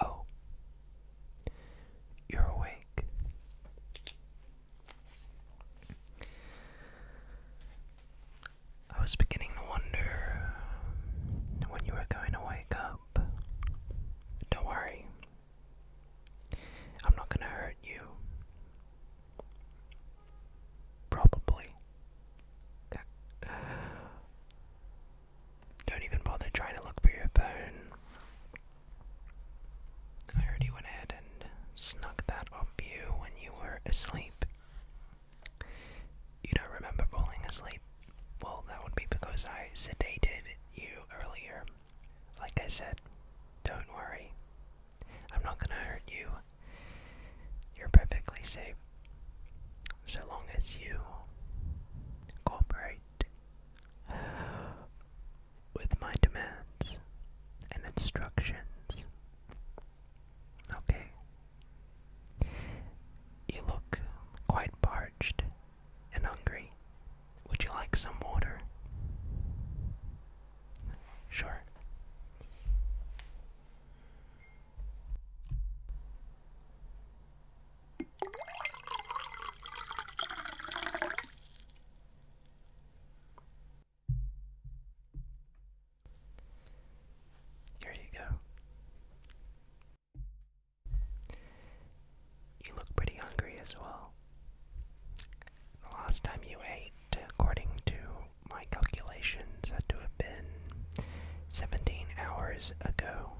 Oh, you're awake. I was beginning to wonder when you were going to wake up. Don't worry, I'm not going to hurt you. Probably. Don't even bother trying to look for your phone. I already went ahead and snuck that up you when you were asleep. You don't remember falling asleep? Well, that would be because I sedated you earlier. Like I said, don't worry. I'm not gonna hurt you. You're perfectly safe so long as you cooperate with my demands and instructions. Okay. You look quite parched and hungry. Would you like some water? Sure. Here you go. You look pretty hungry as well. The last time you ate, according to my calculations, had to have been 17 hours ago.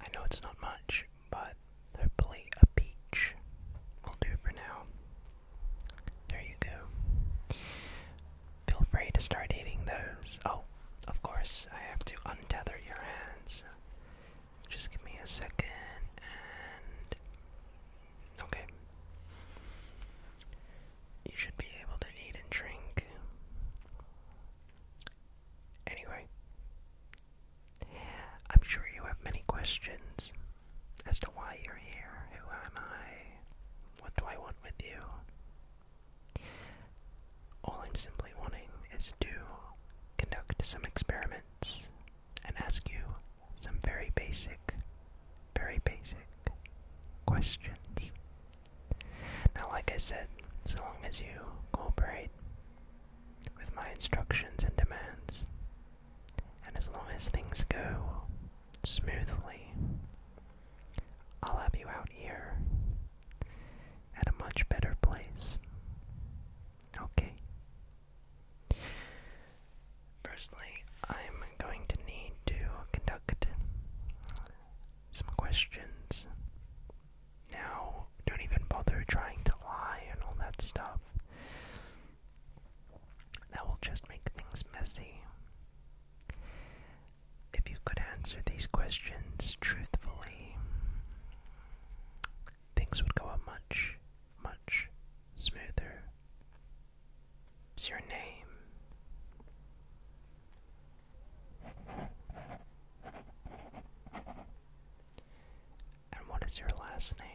I know it's not much, but Hopefully a peach will do for now. There you go. Feel free to start eating those. Oh, of course, I have to untether your hands. Just give me a second and. Okay. You should be able to eat and drink. Anyway, I'm sure you have many questions as to why you're here. Who am I? What do I want with you? All I'm simply wanting is to conduct some experiments and ask you some very basic, very basic questions. Now, like I said, so long as you cooperate with my instructions and demands, and as long as things go smoothly, I'll have you out here at a much better place. Okay. Firstly, I'm going to need to conduct some questions. Now, don't even bother trying to lie and all that stuff. That will just make things messy. If you could answer these questions truthfully, things would go up much, much smoother. What's your name? And what is your last name?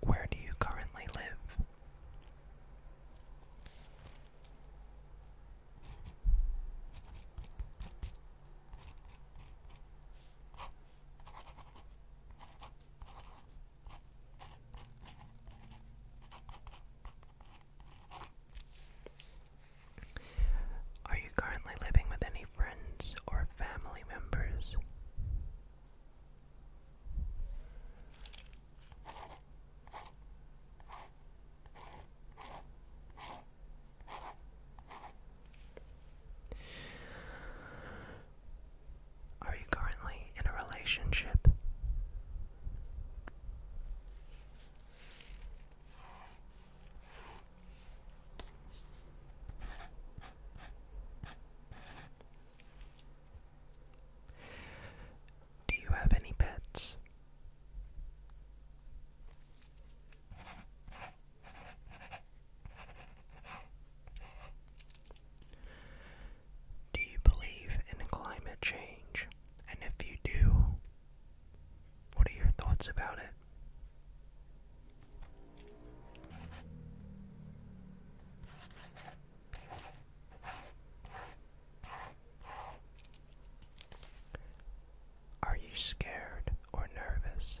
Where do you currently live? Are you currently living with any friends or family members? Are you currently in a relationship? Do you have any pets? Do you believe in climate change? And if you do, what are your thoughts about it? Are you scared or nervous?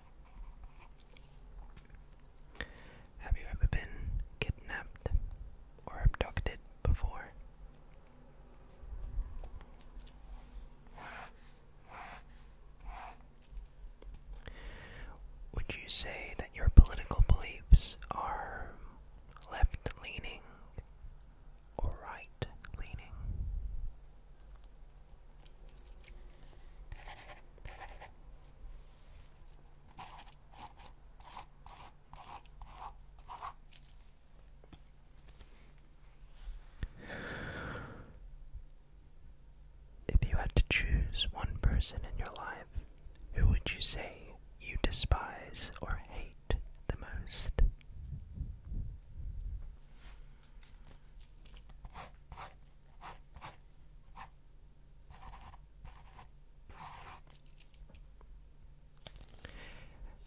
Have you ever been kidnapped or abducted before? Would you say that your political beliefs are left leaning or right leaning? If you had to choose one person in your life, who would you say you despise or hate the most?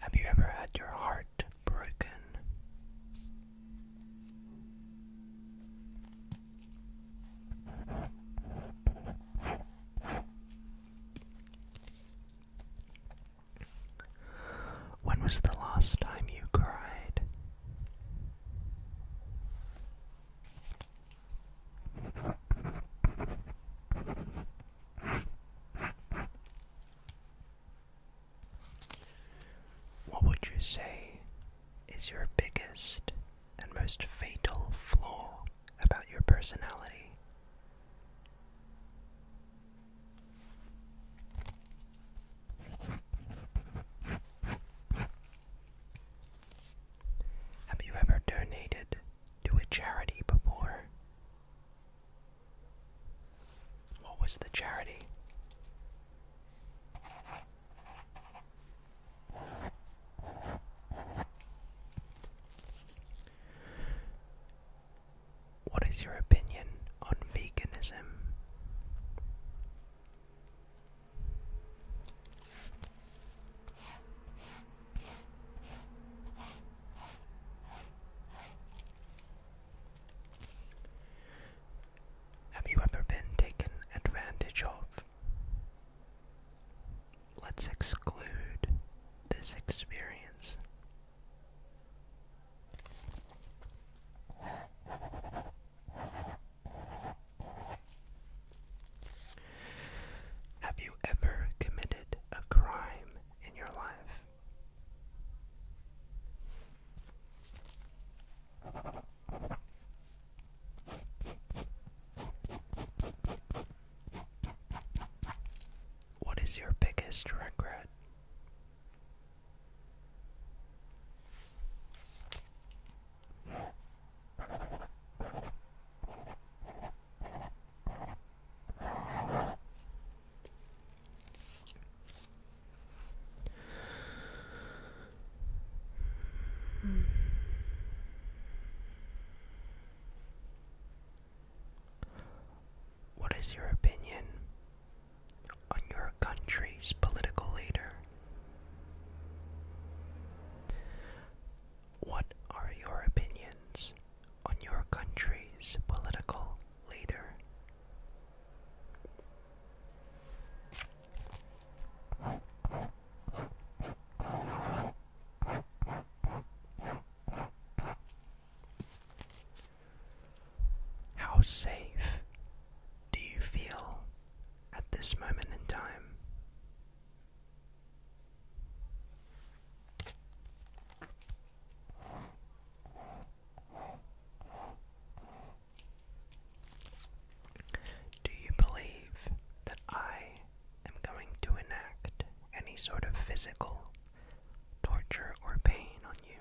Have you ever had your heart broken? When was the last time you cried? What would you say is your biggest and most fatal flaw about your personality? Have you ever donated to a charity before? What was the charity? What is your opinion on veganism? Have you ever been taken advantage of? Let's exclude this experience. Have you ever committed a crime in your life? What is your biggest regret? What is your opinion on your country's political leader? What are your opinions on your country's political leader? How safe do you feel at this moment in time. Do you believe that I am going to enact any sort of physical torture or pain on you?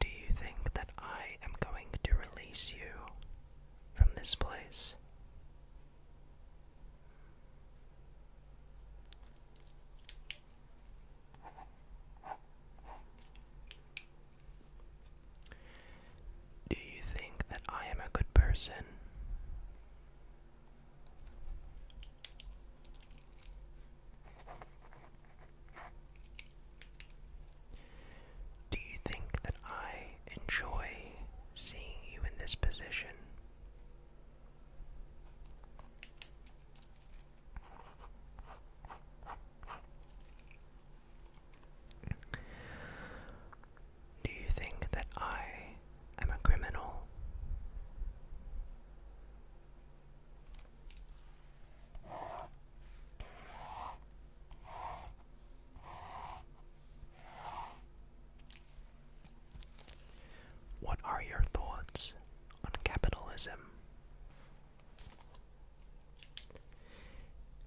Do you think that I am going to release you from this place? Do you think that I am a good person? Do you think that I enjoy seeing you in this position? Do you think that I am a criminal? What are your thoughts on capitalism?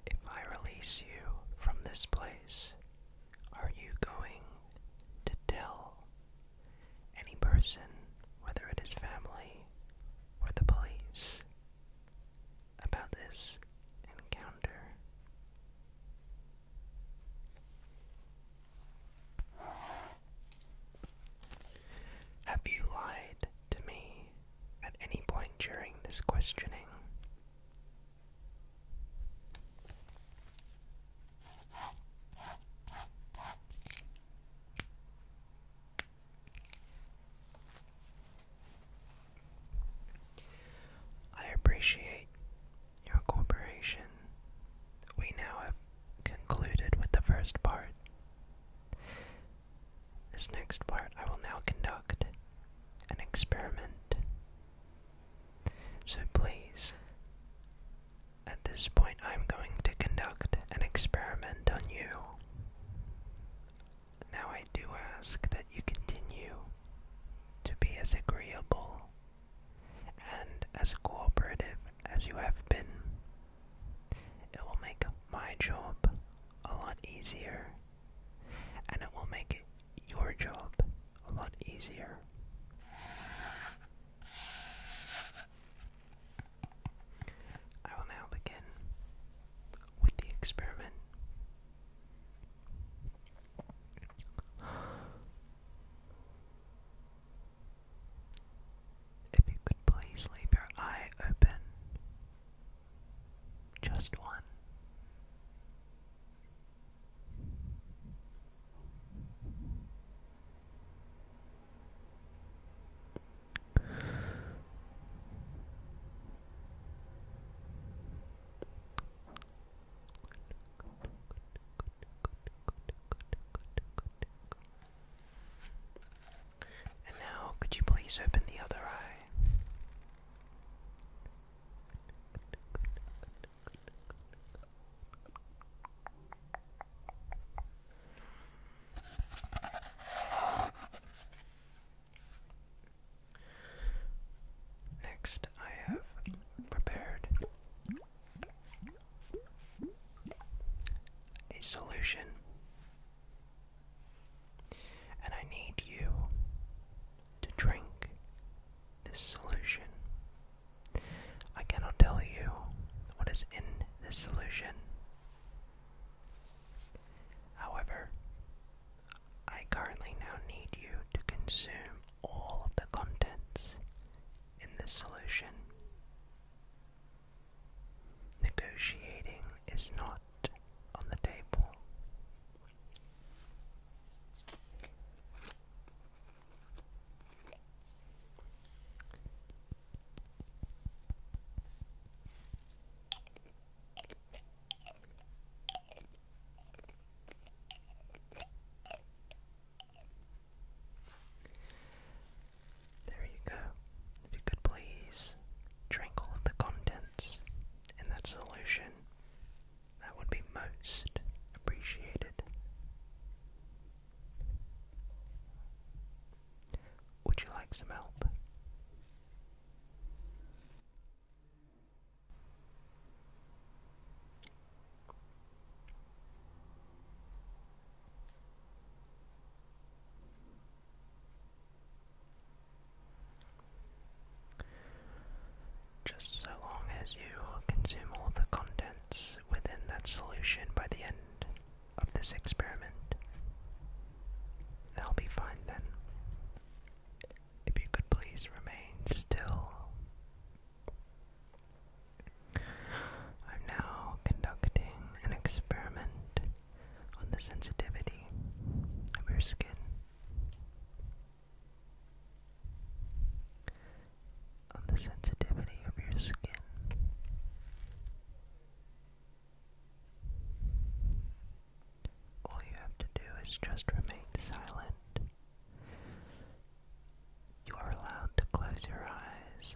If I release you from this place, are you going to tell any person, whether it is family or the police, about this encounter? Have you lied to me at any point during this questioning? I appreciate your cooperation. We now have concluded with the first part. This next part, I will now conduct an experiment. So please, at this point, I'm going to conduct an experiment on you. Now, I do ask that you continue to be as agreeable and as cooperative as you have been. It will make my job a lot easier and it will make your job a lot easier. I will now begin with the experiment. If you could please leave your eye open just one. And now, could you please open the other eye? Next, I have prepared a solution and I need you to drink this solution. I cannot tell you what is in this solution. However, I currently now need you to consume all of the contents in this solution. Negotiating is not on the table. There you go. If you could please drink all of the contents in that solution, that would be most appreciated. Would you like some help? Just so long as you consume all the contents within that solution by the end of this experiment, they'll be fine then. If you could please remain still. I'm now conducting an experiment on the sensitivity of your skin on the sensitivity of your skin. All you have to do is just remain silent. You are allowed to close your eyes.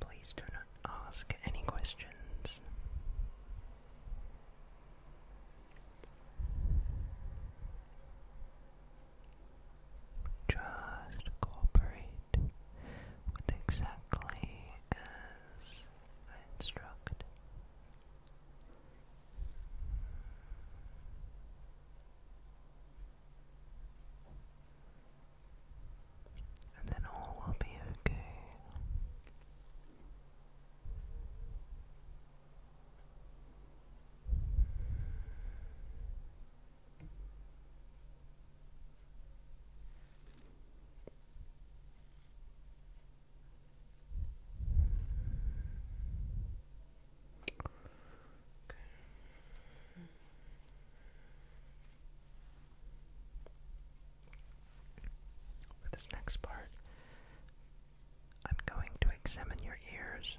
Please do not ask any questions. Just cooperate with exactly uh, I instruct. And then all will be okay. For this next part, I'm going to examine your ears.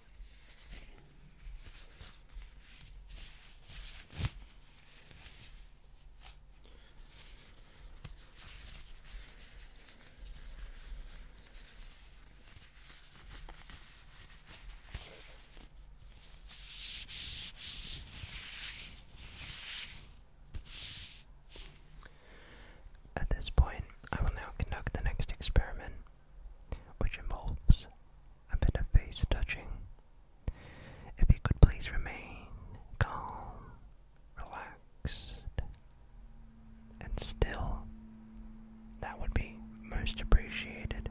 At this point, I will now conduct the next experiment which involves a bit of face touching. If you could please remain calm, relaxed, and still, that would be most appreciated.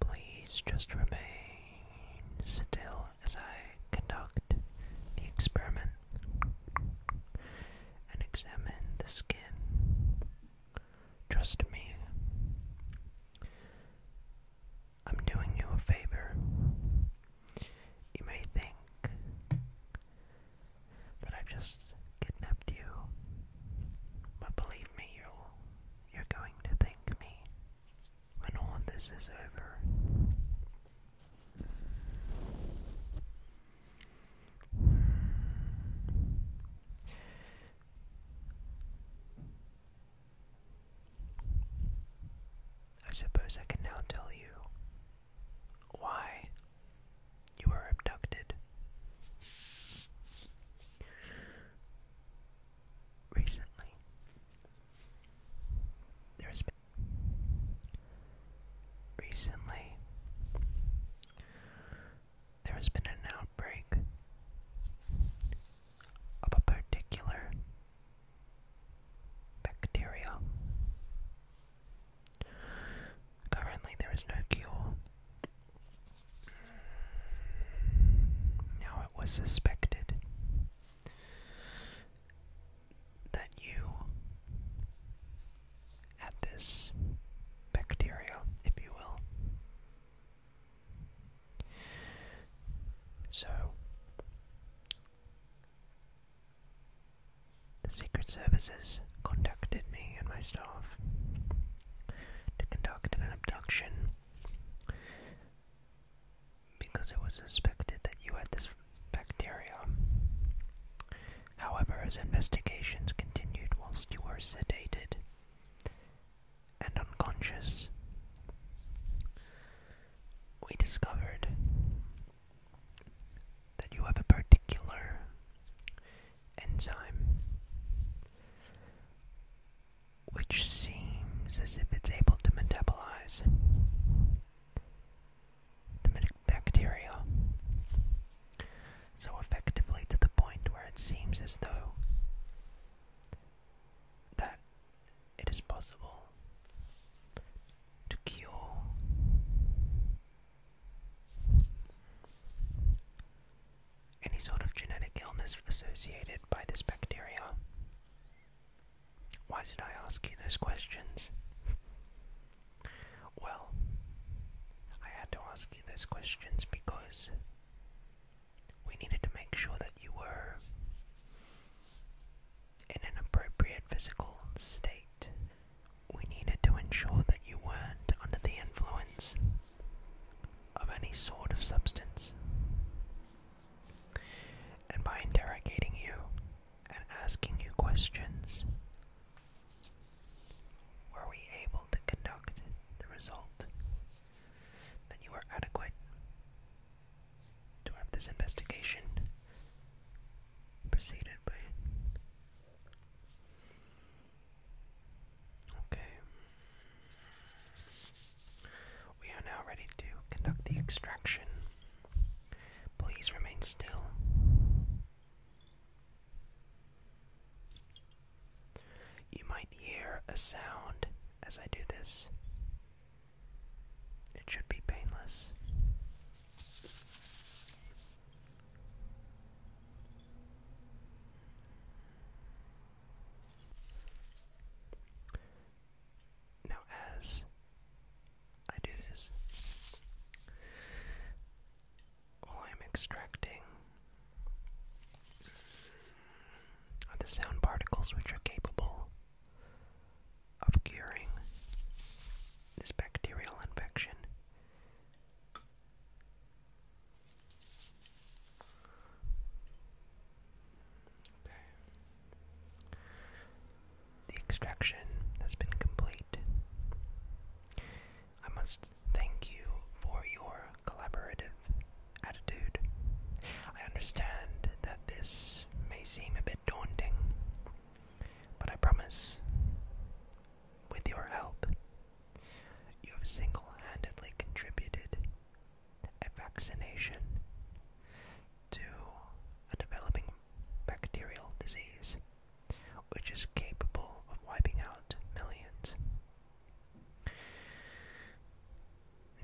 Please just remain still as I conduct the experiment and examine the skin Trust me. I'm doing you a favor. You may think that I've just kidnapped you, but believe me, you'll, you're going to thank me when all this is over. I suppose I can now tell you why you were abducted. Recently, there has been. Recently, there has been an outbreak of a particular bacteria. Currently, there is no cure. Now, it was suspected that you at this bacteria, if you will. So, the Secret Services conducted me and my staff to conduct an abduction because it was suspected that you had this bacteria. However, as investigations continued whilst you were sedated, and unconscious, we discovered that you have a particular enzyme which seems as if it's able to metabolize the bacteria so effectively to the point where it seems as though that it is possible to cure any sort of genetic illness associated by this bacteria. Why did I ask you those questions? Well, I had to ask you those questions because we needed to make sure that you were in an appropriate physical state. We needed to ensure that you weren't under the influence of any sort of substance. And by interrogating you and asking you questions, were we able to conduct the result? Then you are adequate to have this investigation proceeded Okay. We are now ready to conduct the extraction. Please remain still. You might hear a sound as I do this. It should be painless. Now, as I do this, all oh, I'm extracting are the sound particles which are capable of curing this bacterial infection. The extraction has been complete. I must thank you for your collaborative attitude. I understand that this may seem a bit daunting, but I promise, with your help, you have single handedly contributed a vaccination to a developing bacterial disease which is capable of wiping out millions.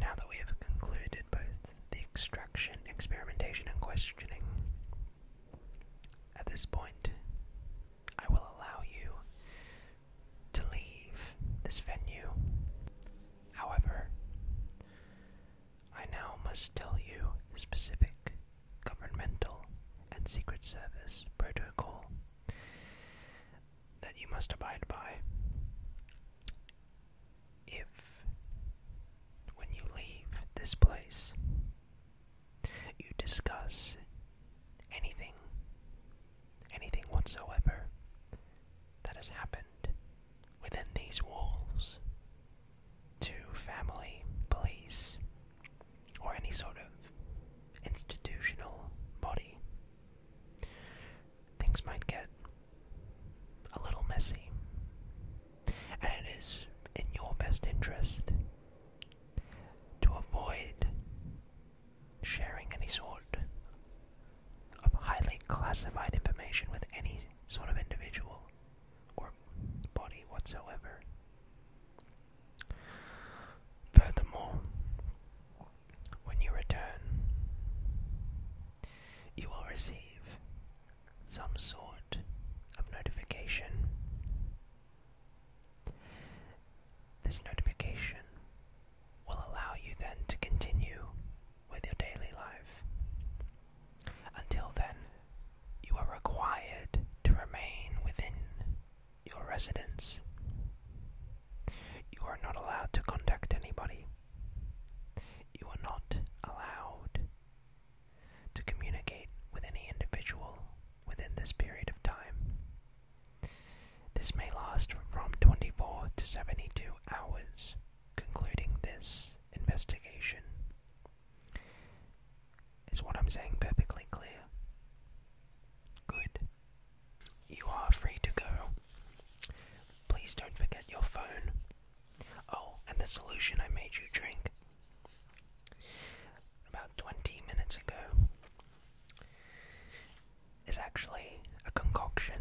Now that we have concluded both the extraction, experimentation, and questioning, at this point, I will allow you to leave this venue. However, I now must tell you specific governmental and Secret Service protocol that you must abide by. If, when you leave this place, you discuss anything, anything whatsoever that has happened within these walls to family, police, or any sort of institutional body, things might get a little messy. And it is in your best interest to avoid sharing any sort of highly classified information with any sort of individual or body whatsoever. Furthermore, when you return, you will receive some sort of notification. This notification will allow you then to continue with your daily life. Until then, you are required to remain within your residence. You are not allowed to contact anybody. You are not allowed to communicate with any individual within this period of time. This may last from 24 to 72 hours, concluding this investigation. Is what I'm saying perfectly clear? Good. You are free to go. Please don't forget your phone. Oh, and the solution I made you drink about 20 minutes ago is actually a concoction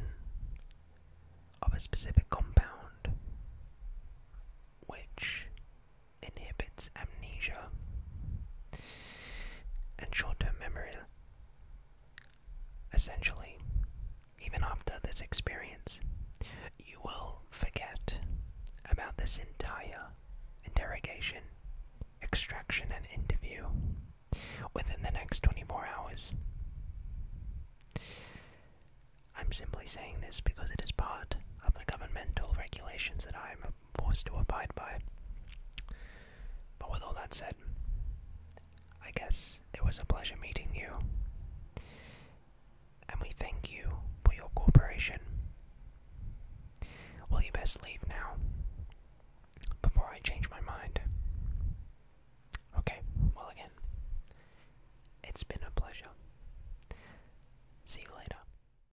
of a specific compound which inhibits amnesia and short term memory. Essentially, even after this experience, you will forget about this entire interrogation, extraction, and interview within the next 24 hours. I'm simply saying this because it is part of the governmental regulations that I am was to abide by. But with all that said, I guess it was a pleasure meeting you, and we thank you for your cooperation. Will you best leave now before I change my mind? Okay, well, again, it's been a pleasure. See you later.